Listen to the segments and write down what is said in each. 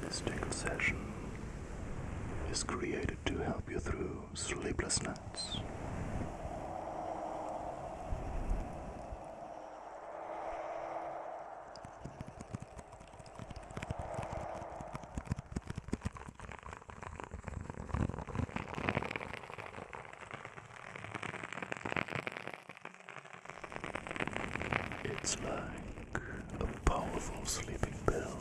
This tail session is created to help you through sleepless nights. It's like a powerful sleeping pill.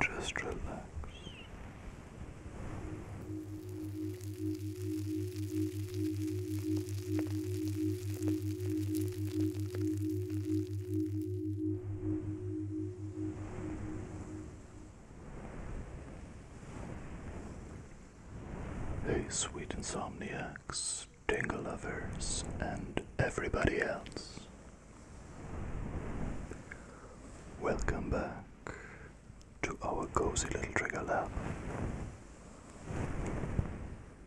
Just relax. Hey, sweet insomniacs, tingle lovers, and everybody else. Welcome back to our cozy little trigger lab.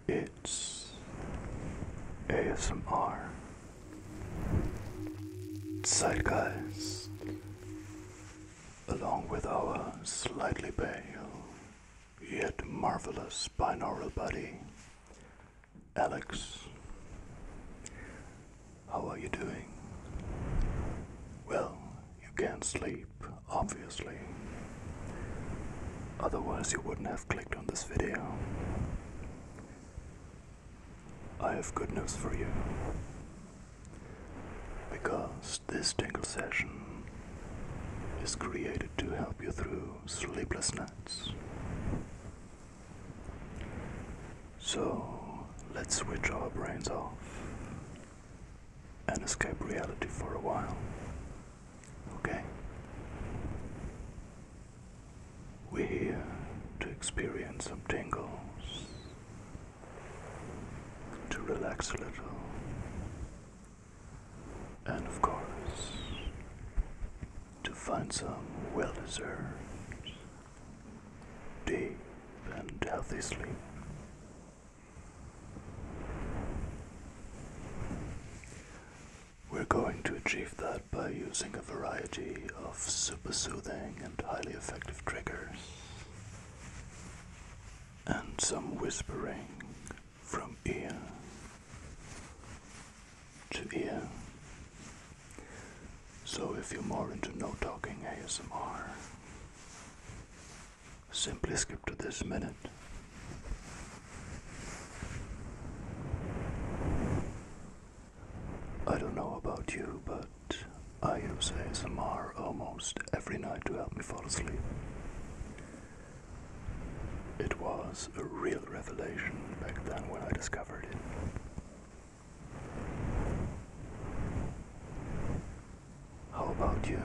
It's ASMR. Zeitgeist, along with our slightly pale yet marvelous binaural buddy, Alex, how are you doing? Well, you can't sleep, obviously. Otherwise, you wouldn't have clicked on this video. I have good news for you. Because this tingle session is created to help you through sleepless nights. So let's switch our brains off and escape reality for a while. Okay? We're here to experience some tingles, to relax a little, and of course, to find some well deserved deep and healthy sleep. We're going to achieve that by using a variety of super soothing and highly effective triggers and some whispering from ear to ear. So if you're more into no talking ASMR, simply skip to this minute. I don't know about you, but I use ASMR almost every night to help me fall asleep. It was a real real revelation back then when I discovered it. How about you?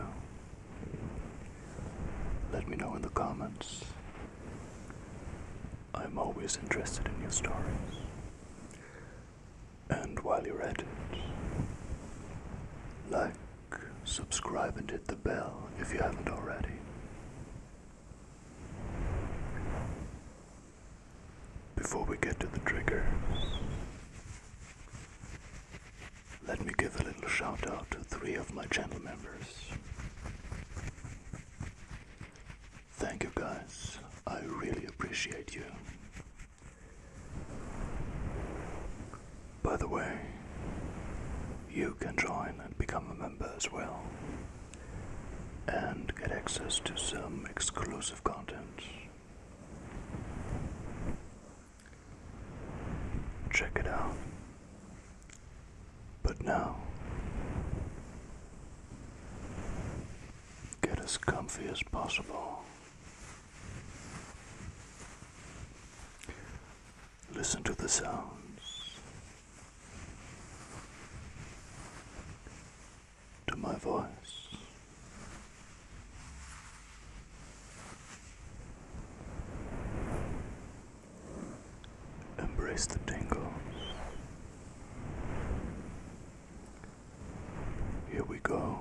Let me know in the comments. I'm always interested in your stories. And while you're at it, like, subscribe, and hit the bell if you haven't already. Before we get to the trigger, let me give a little shout out to three of my channel members. Thank you guys, I really appreciate you. By the way, you can join and become a member as well and get access to some exclusive content. Check it out. But now, get as comfy as possible. Listen to the sounds to my voice. Embrace the tingles. Here we go.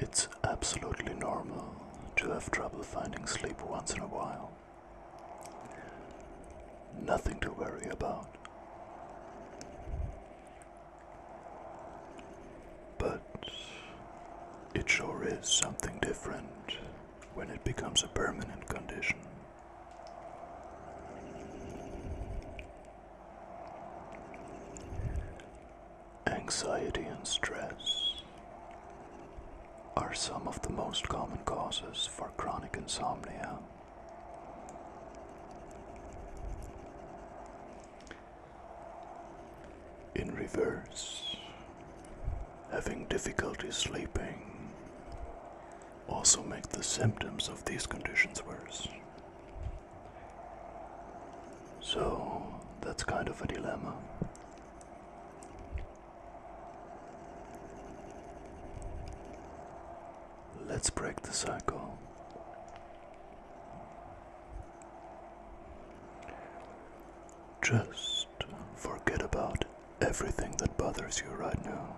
It's absolutely normal to have trouble finding sleep once in a while. Nothing to worry about. But it sure is something different when it becomes a permanent condition. Anxiety and stress are some of the most common causes for chronic insomnia. In reverse, having difficulty sleeping also make the symptoms of these conditions worse. So that's kind of a dilemma. Let's break the cycle. Just forget about everything that bothers you right now.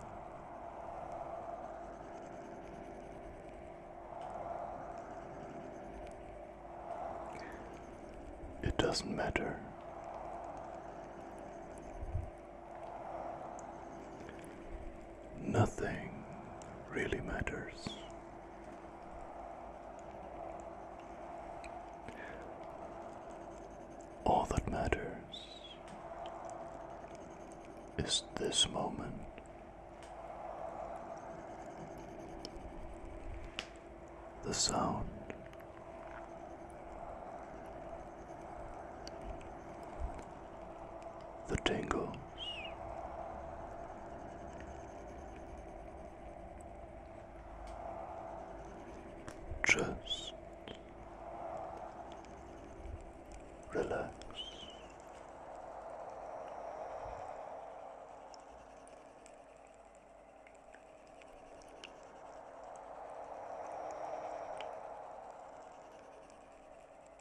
It doesn't matter. Nothing really matters. All that matters is this moment. The sound the tingles. Just relax.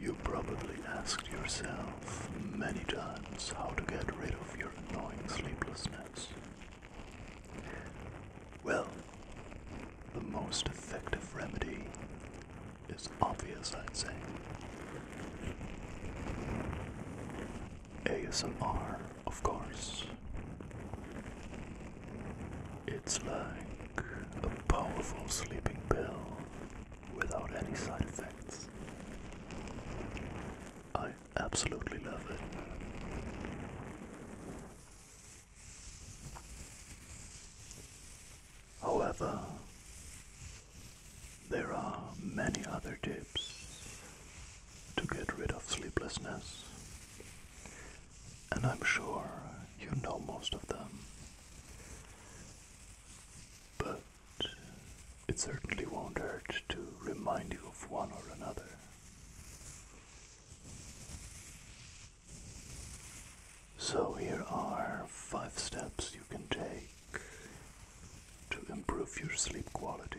You probably asked yourself many times how to get rid of your annoying sleeplessness. Well, the most effective remedy is obvious, I'd say. ASMR, of course. It's like a powerful sleeping pill without any side effects. I absolutely love it. However, there are many other tips to get rid of sleeplessness and I'm sure you know most of them. But it certainly won't hurt to remind you of one or another. So, here are five steps you can take to improve your sleep quality.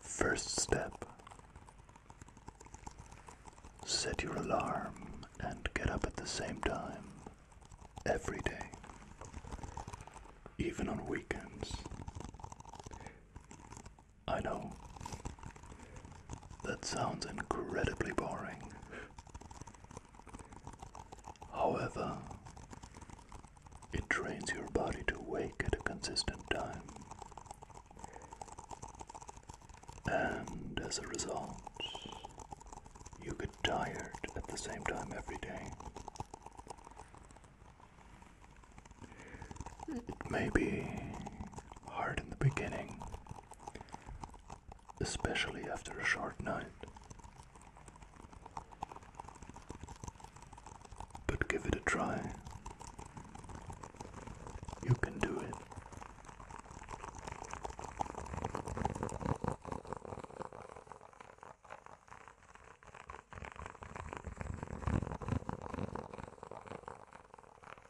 First step Set your alarm and get up at the same time every day, even on weekends. I know that sounds incredibly boring, However, it trains your body to wake at a consistent time, and as a result, you get tired at the same time every day. It may be hard in the beginning especially after a short night. But give it a try. You can do it.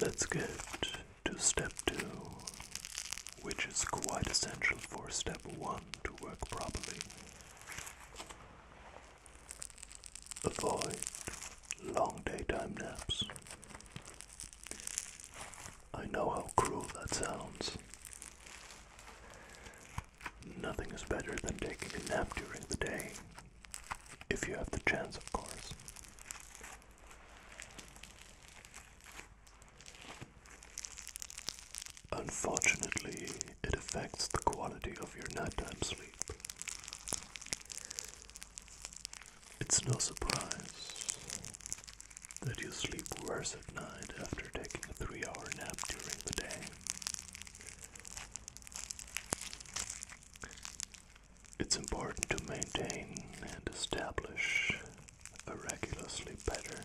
Let's get to step two, which is quite essential for step one to work properly. Avoid long daytime naps. I know how cruel that sounds. Nothing is better than taking a nap during the day, if you have the chance, of course. Unfortunately, it affects the quality of your nighttime sleep. It's no surprise that you sleep worse at night after taking a three hour nap during the day. It's important to maintain and establish a regular sleep pattern.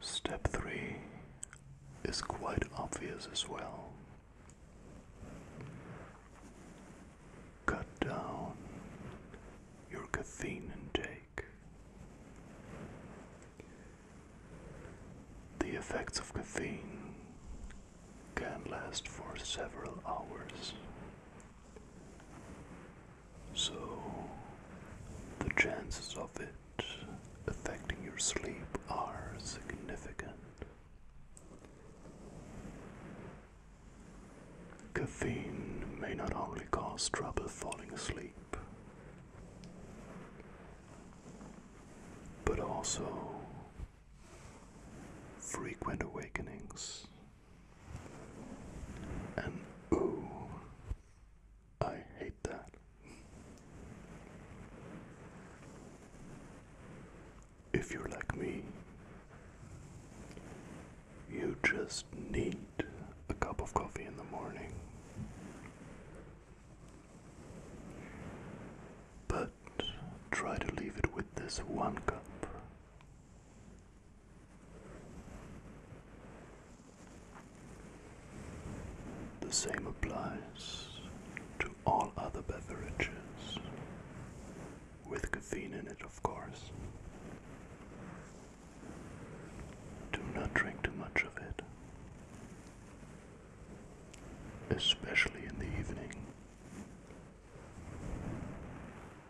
Step 3 is quite obvious as well. Cut down your caffeine intake. The effects of caffeine can last for several hours so, the chances of it affecting your sleep are significant. Caffeine may not only cause trouble falling asleep, but also frequent awakenings and ooh, I hate that. If you're like me, you just need a cup of coffee in the morning. But try to leave it with this one cup. The same applies to all other beverages, with caffeine in it, of course. Do not drink too much of it, especially in the evening.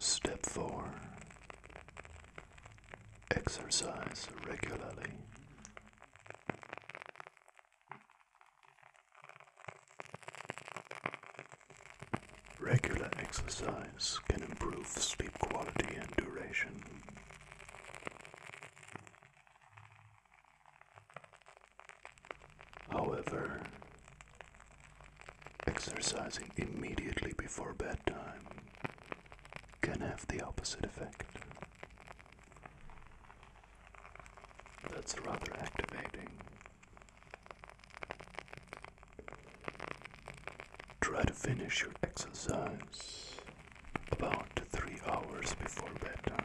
Step 4 Exercise regularly. Regular exercise can improve sleep quality and duration. However, exercising immediately before bedtime can have the opposite effect. That's rather activating. Try to finish your exercise about three hours before bedtime.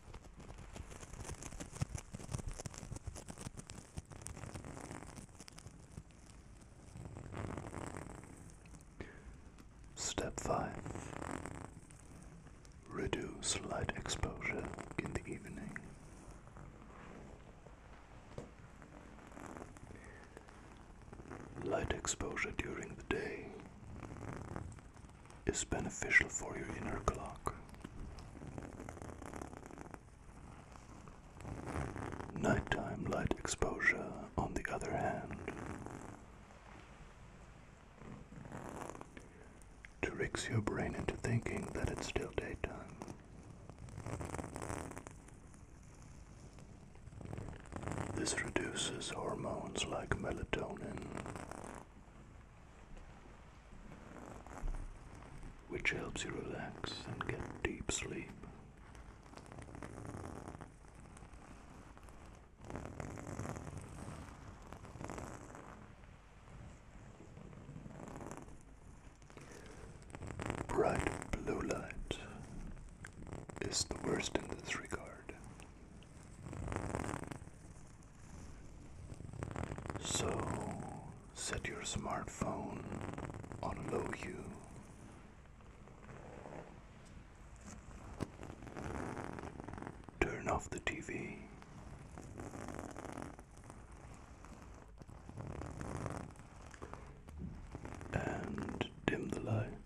Step 5 Reduce light exposure in the evening. Light exposure during the day is beneficial for your inner clock. Nighttime light exposure, on the other hand, tricks your brain into thinking that it's still daytime. This reduces hormones like melatonin, which helps you relax and get deep sleep. Bright blue light is the worst in this regard. So set your smartphone on low hue. Turn off the TV. And dim the lights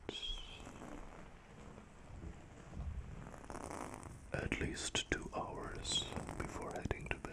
at least two hours before heading to bed.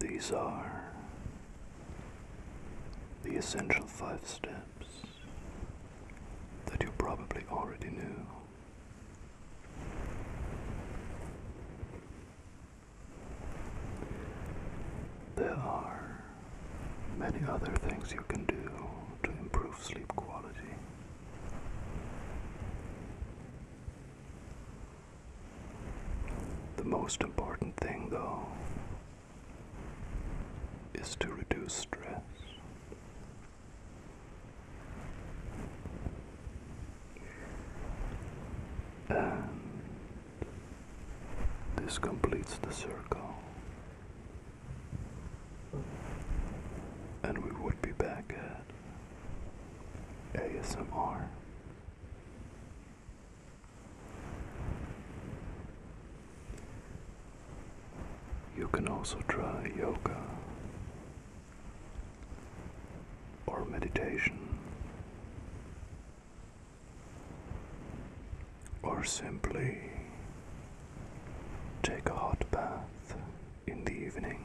these are the essential five steps that you probably already knew. There are many other things you can do to improve sleep quality. The most important thing, though, is to reduce stress. this completes the circle. And we would be back ASMR. You can also try yoga or meditation or simply take a hot bath in the evening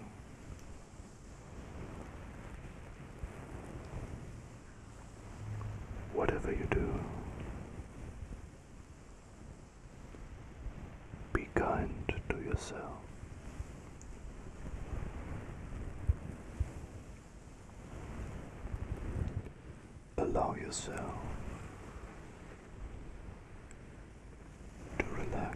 Whatever you do, be kind to yourself. Allow yourself to relax.